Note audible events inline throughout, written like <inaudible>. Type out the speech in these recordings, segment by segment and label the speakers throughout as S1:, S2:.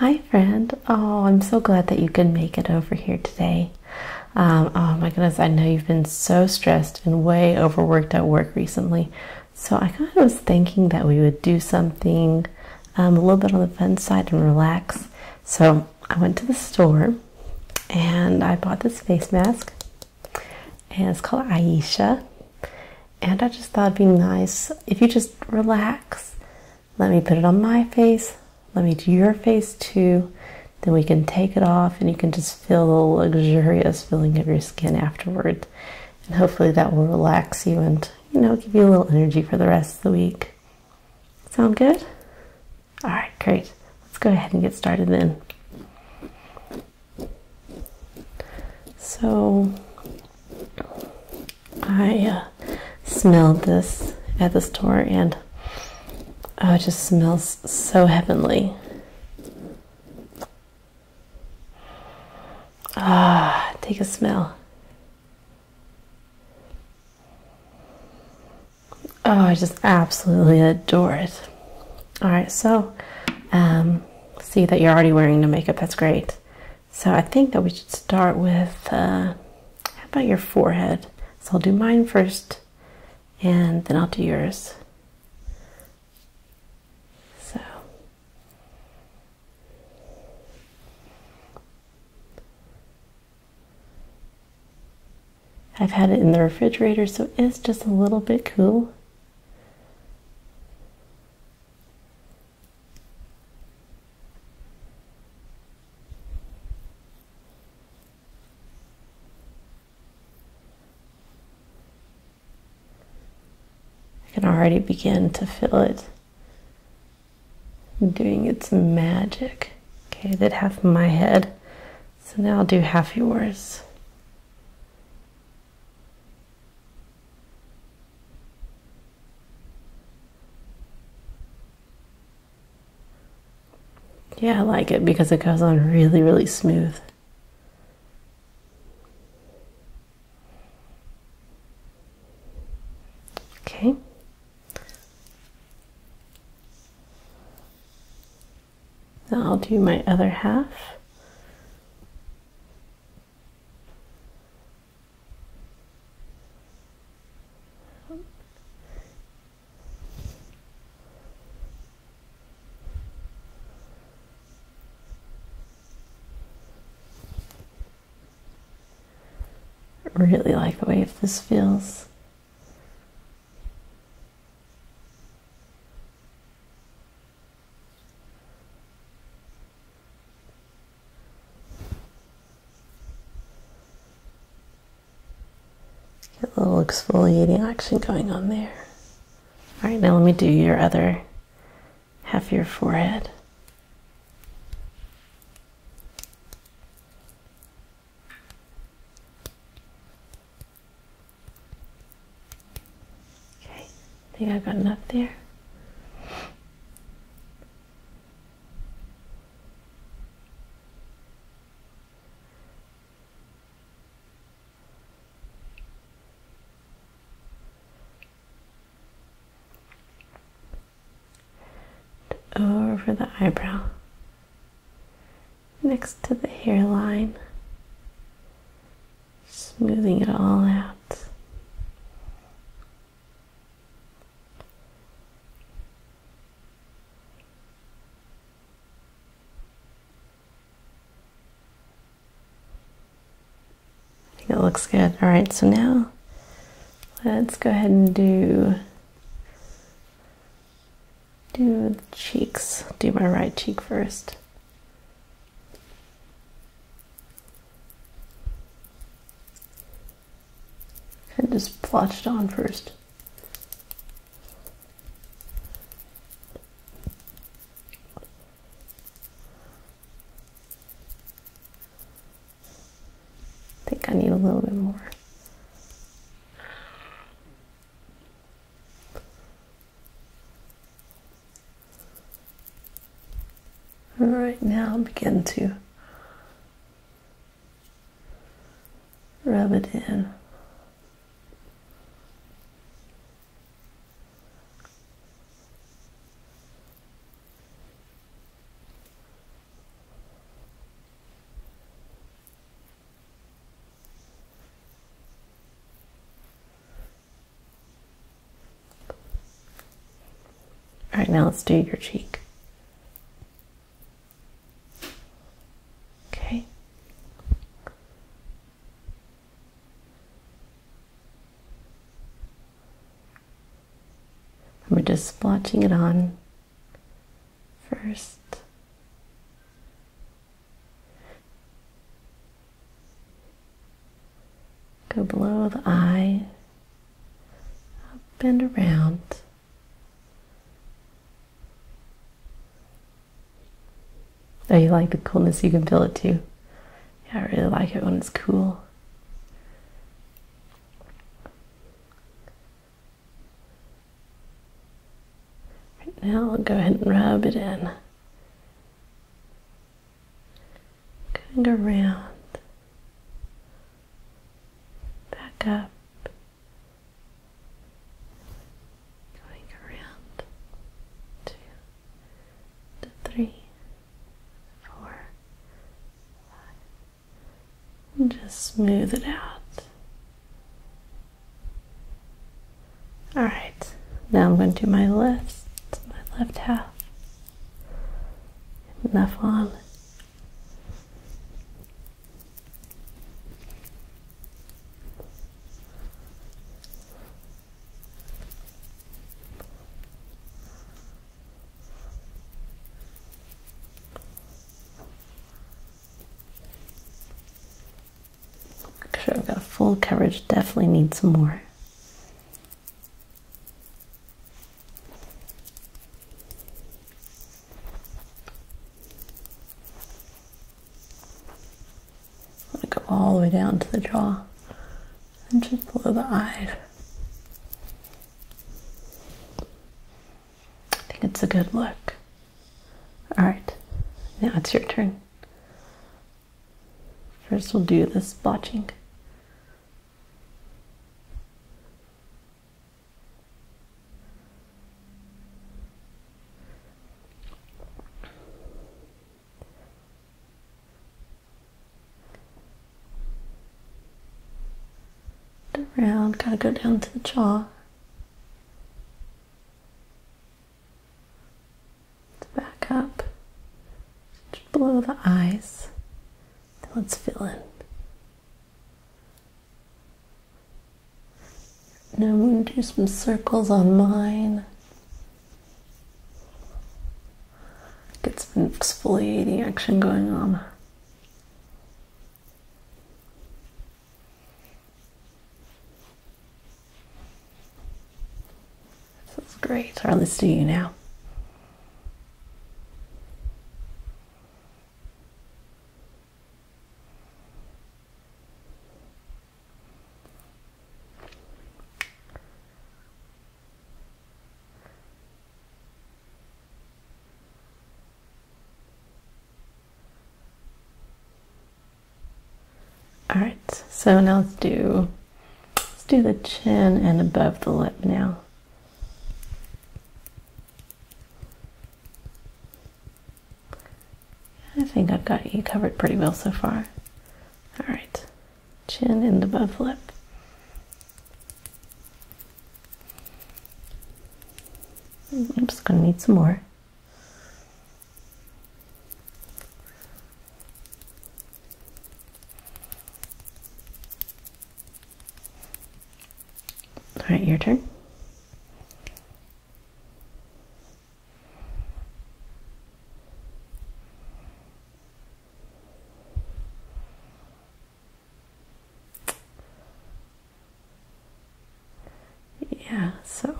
S1: Hi, friend. Oh, I'm so glad that you can make it over here today. Um, oh, my goodness, I know you've been so stressed and way overworked at work recently. So, I kind of was thinking that we would do something um, a little bit on the fun side and relax. So, I went to the store and I bought this face mask, and it's called Ayesha. And I just thought it'd be nice if you just relax. Let me put it on my face. Let me do your face too. Then we can take it off and you can just feel the luxurious feeling of your skin afterward. And hopefully that will relax you and, you know, give you a little energy for the rest of the week. Sound good? All right, great. Let's go ahead and get started then. So I uh, smelled this at the store and oh, it just smells so heavenly. Ah, take a smell. Oh, I just absolutely adore it. All right, so um, see that you're already wearing no makeup. That's great. So I think that we should start with uh, how about your forehead? So I'll do mine first, and then I'll do yours. So. I've had it in the refrigerator, so it's just a little bit cool. I can already begin to feel it doing its magic. Okay, that did half my head, so now I'll do half yours. Yeah, I like it because it goes on really, really smooth. Okay. Now I'll do my other half really like the way this feels. Get a little exfoliating action going on there. All right, now let me do your other half of your forehead. Okay, I think I've got enough there. Over the eyebrow, next to the hairline smoothing it all out. I think it looks good. All right, so now let's go ahead and do do the cheeks. Do my right cheek first. I just plotched on first. I think I need a little bit more. All right now begin to rub it in. All right, now let's do your cheek. Okay. we're just splotching it on first. Go below the eye, up and around. Oh, you like the coolness, you can feel it too. Yeah, I really like it when it's cool now, I'll go ahead and rub it in. Going around, back up, going around two, just smooth it out. All right, now I'm going to do my left, my left half. Left arm. Sure, I've got full coverage, definitely need some more. I'm going to go all the way down to the jaw and just below the eye. I think it's a good look. All right, now it's your turn. First, we'll do this blotching. Around, gotta go down to the jaw back up just below the eyes. Then let's fill in. Now I'm going to do some circles on mine. Get some exfoliating action going on. Feels great. I'll listen to you now. All right, so now let's do let's do the chin and above the lip now. I think I've got you covered pretty well so far. All right, chin and above lip. I'm just gonna need some more. All right, your turn. Yeah, so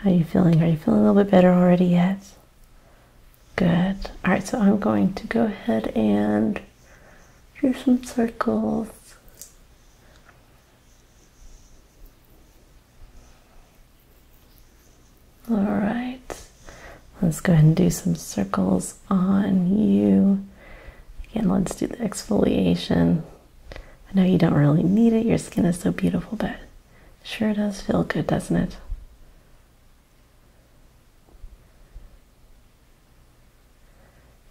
S1: how are you feeling? Are you feeling a little bit better already yet? Good. All right, so I'm going to go ahead and do some circles. All right, let's go ahead and do some circles on you Again, let's do the exfoliation. I know you don't really need it, your skin is so beautiful, but sure does feel good, doesn't it?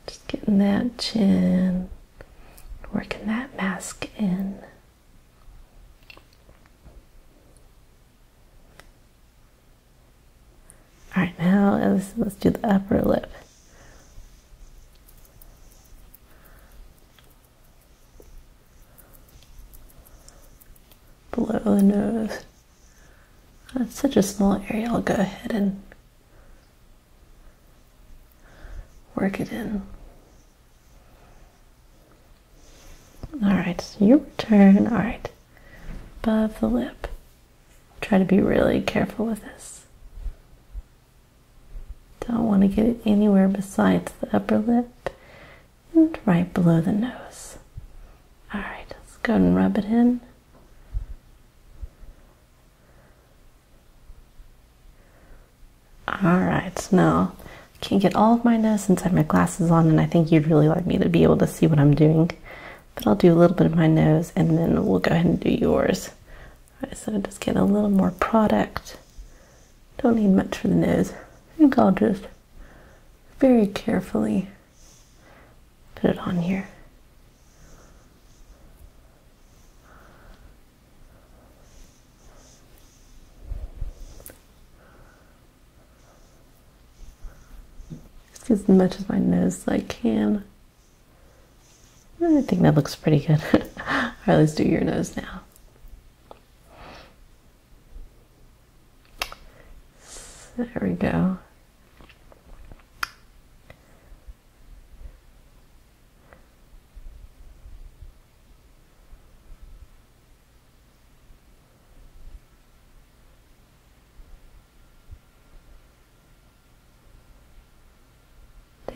S1: Just getting that chin, working that mask in. All right, now let's, do the upper lip. Below the nose. That's such a small area. I'll go ahead and work it in. All right, so you return. All right, above the lip. Try to be really careful with this. Don't want to get it anywhere besides the upper lip and right below the nose. All right, let's go and rub it in. All right, now I can't get all of my nose inside my glasses on, and I think you'd really like me to be able to see what I'm doing but I'll do a little bit of my nose and then we'll go ahead and do yours. All right, so just get a little more product. Don't need much for the nose. I think I'll just very carefully put it on here. Just as much as my nose as I can. I think that looks pretty good. All right, <laughs> let's do your nose now. There we go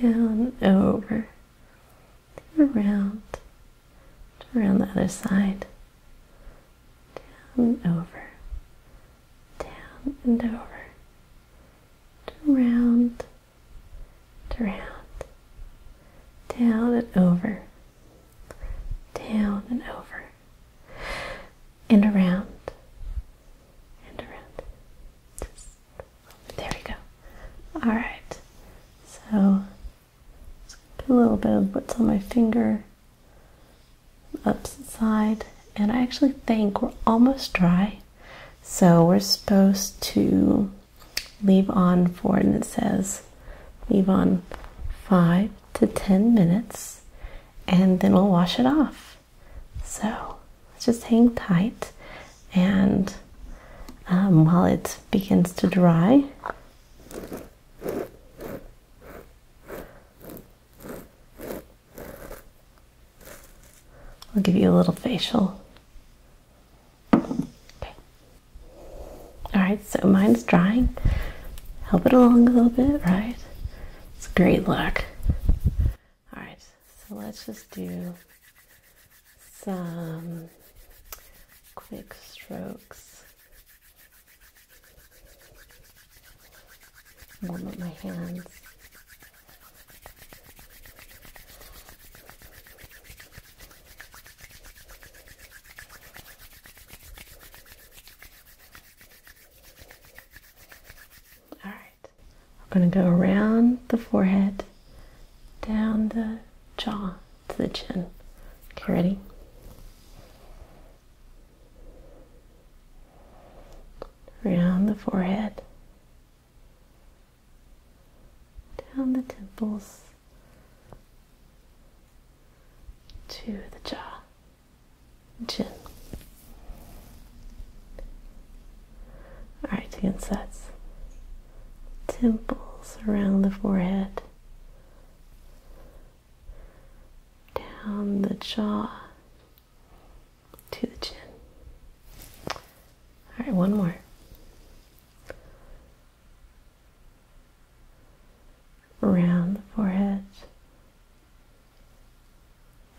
S1: down, over, around, around the other side, down, over, down and over, around, around, down and over, down and over, and around and around. there we go. All right. So put a little bit of what's on my finger upside, and I actually think we're almost dry. So we're supposed to leave on for, and it says leave on five to 10 minutes and then we'll wash it off. So just hang tight and um, while it begins to dry, I'll give you a little facial. Okay. All right, so mine's drying. Help it along a little bit, right? It's great luck. All right, so let's just do some quick strokes. Warm up my hands. All right, we're going to go around the forehead, down the jaw to the chin. Okay, ready? Around the forehead, down the temples to the jaw chin. Alright, again, so that's temples around the forehead, down the jaw to the chin. Alright, one more around the forehead,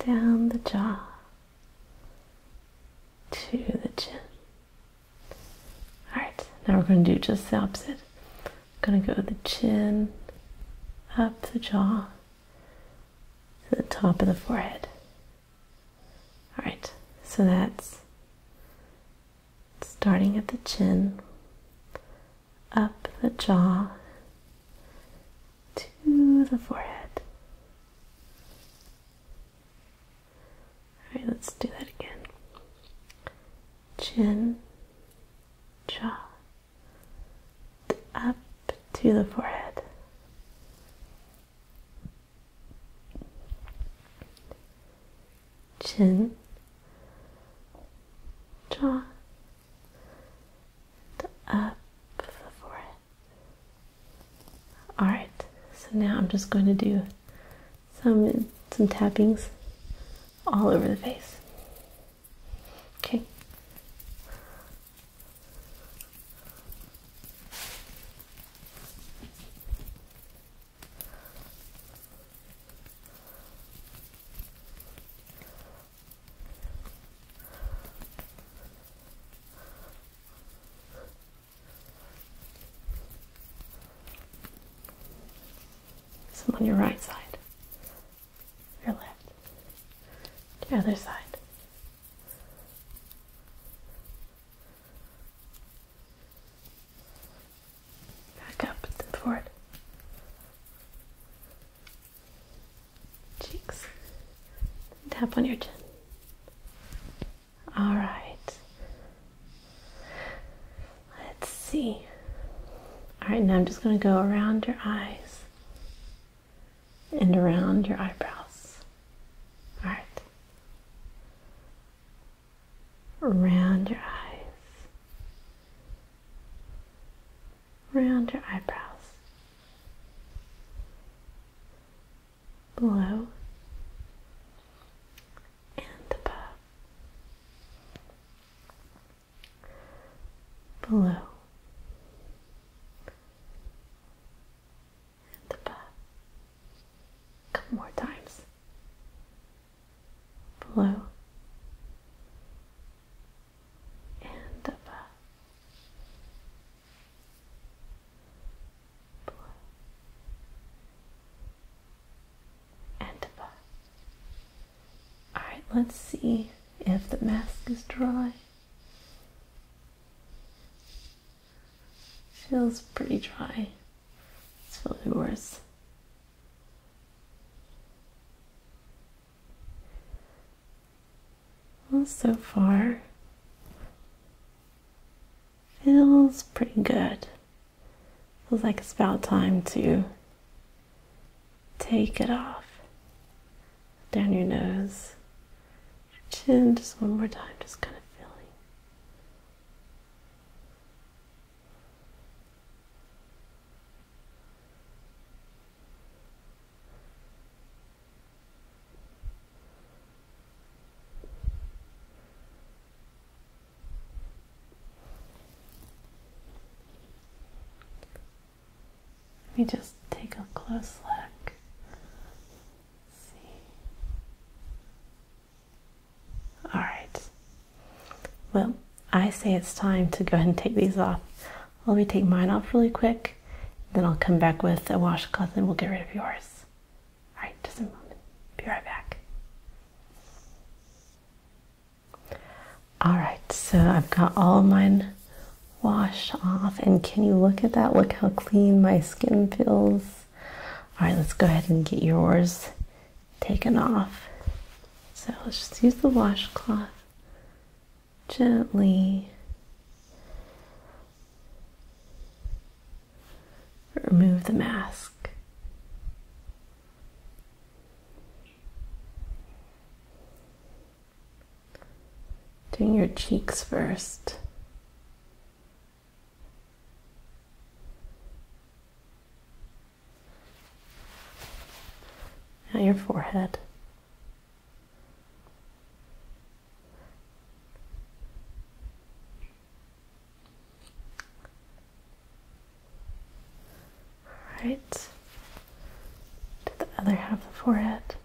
S1: down the jaw to the chin. Alright, now we're going to do just the opposite. I'm going to go the chin, up the jaw, to the top of the forehead. Alright, so that's starting at the chin, up the jaw, to the forehead. All right, let's do that again. Chin, jaw, up to the forehead chin, jaw, the up of the forehead. Alright, so now I'm just going to do some some tappings all over the face. Okay. Some on your right side, your left, the other side. Back up and forward. Cheeks. Tap on your chin. All right. Let's see. All right, now I'm just going to go around your eyes and around your eyebrows. All right around your eyes, around your eyebrows, below and above, below. and above. A couple more times below and above. Below and above. Alright, let's see if the mask is dry. Feels pretty dry. It's feeling worse. Well, so far, feels pretty good. Feels like it's about time to take it off. Down your nose, chin, just one more time, just kind of feeling. Let me just take a close look. See. All right. Well, I say it's time to go ahead and take these off. Let me take mine off really quick, then I'll come back with a washcloth and we'll get rid of yours. All right, just a moment. Be right back. All right, so I've got all mine washed off, and can you look at that? Look how clean my skin feels. All right, let's go ahead and get yours taken off. So let's just use the washcloth gently. Remove the mask. Doing your cheeks first. At your forehead. All right to the other half of the forehead.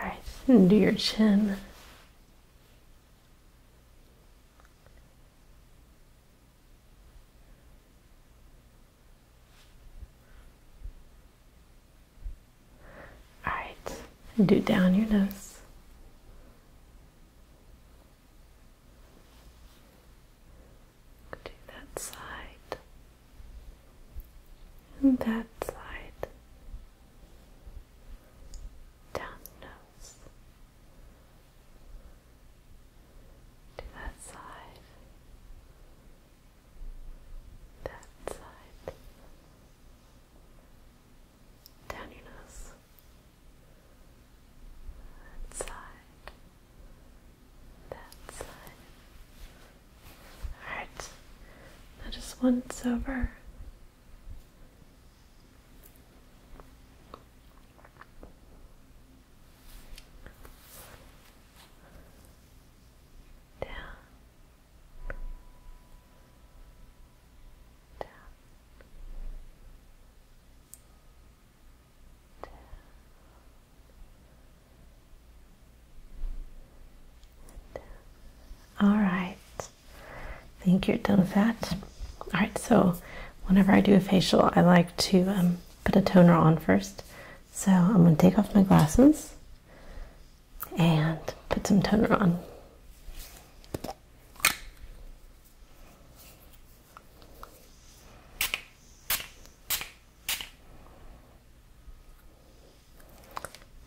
S1: All right, do your chin. All right, do down your nose to that side and that side down the nose to that side that side down your nose that side, that side. Alright, now just once over. Down. Down all right I think you're done with that all right so whenever I do a facial I like to um, put a toner on first so I'm going to take off my glasses and put some toner on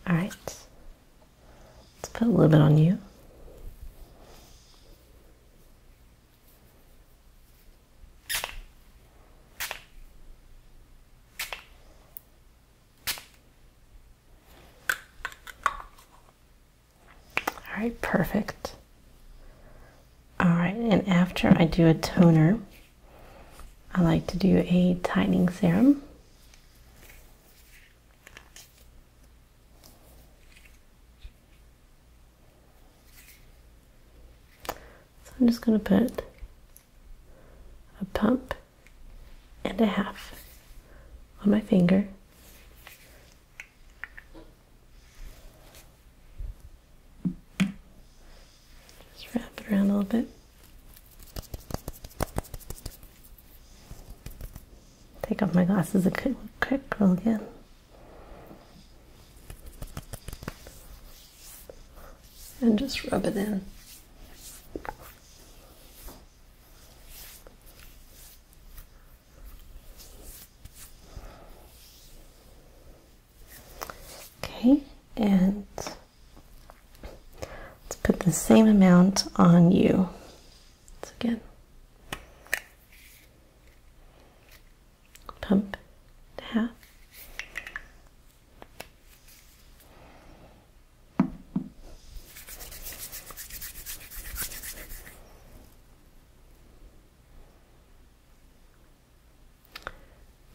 S1: all right, let's put a little bit on you. All right, perfect. All right, and after I do a toner, I like to do a tightening serum. So I'm just going to put a pump and a half on my finger just wrap it around a little bit. Take off my glasses and quick, quick roll again. And just rub it in. Okay, and let's put the same amount on you. again, pump and half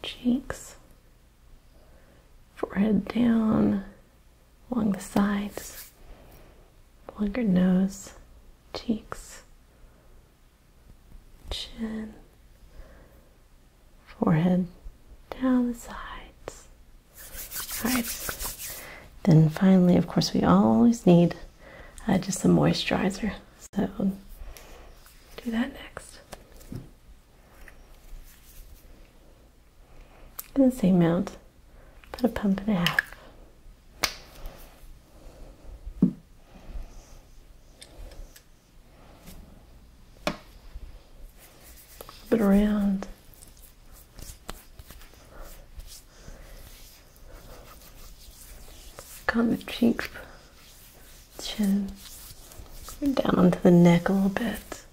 S1: cheeks, forehead down, along the sides, along your nose, cheeks, chin, forehead down the sides. All right. Then finally, of course, we always need uh, just some moisturizer. So do that next. In the same amount, put a pump and a half. Flip it around. Come the cheeks, chin, down onto the neck a little bit.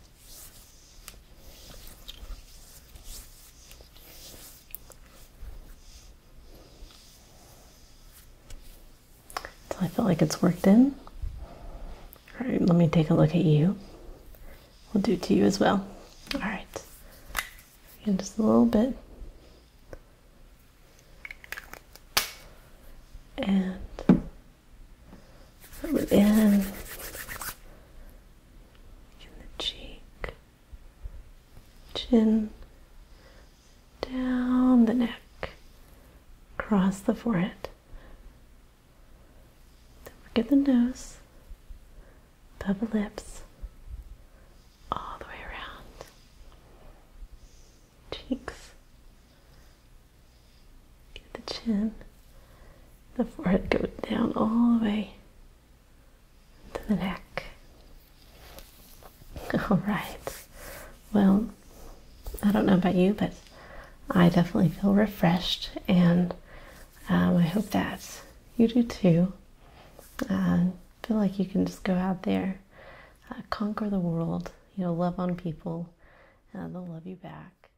S1: Until I feel like it's worked in. All right, let me take a look at you. We'll do it to you as well. All right and just a little bit and rub it in in the cheek chin down the neck across the forehead don't forget the nose Bubble lips all the way around. Cheeks. Get the chin. The forehead go down all the way to the neck. <laughs> All right. Well, I don't know about you, but I definitely feel refreshed and um, I hope that you do too. Uh, feel like you can just go out there, uh, conquer the world, you know, love on people, and they'll love you back.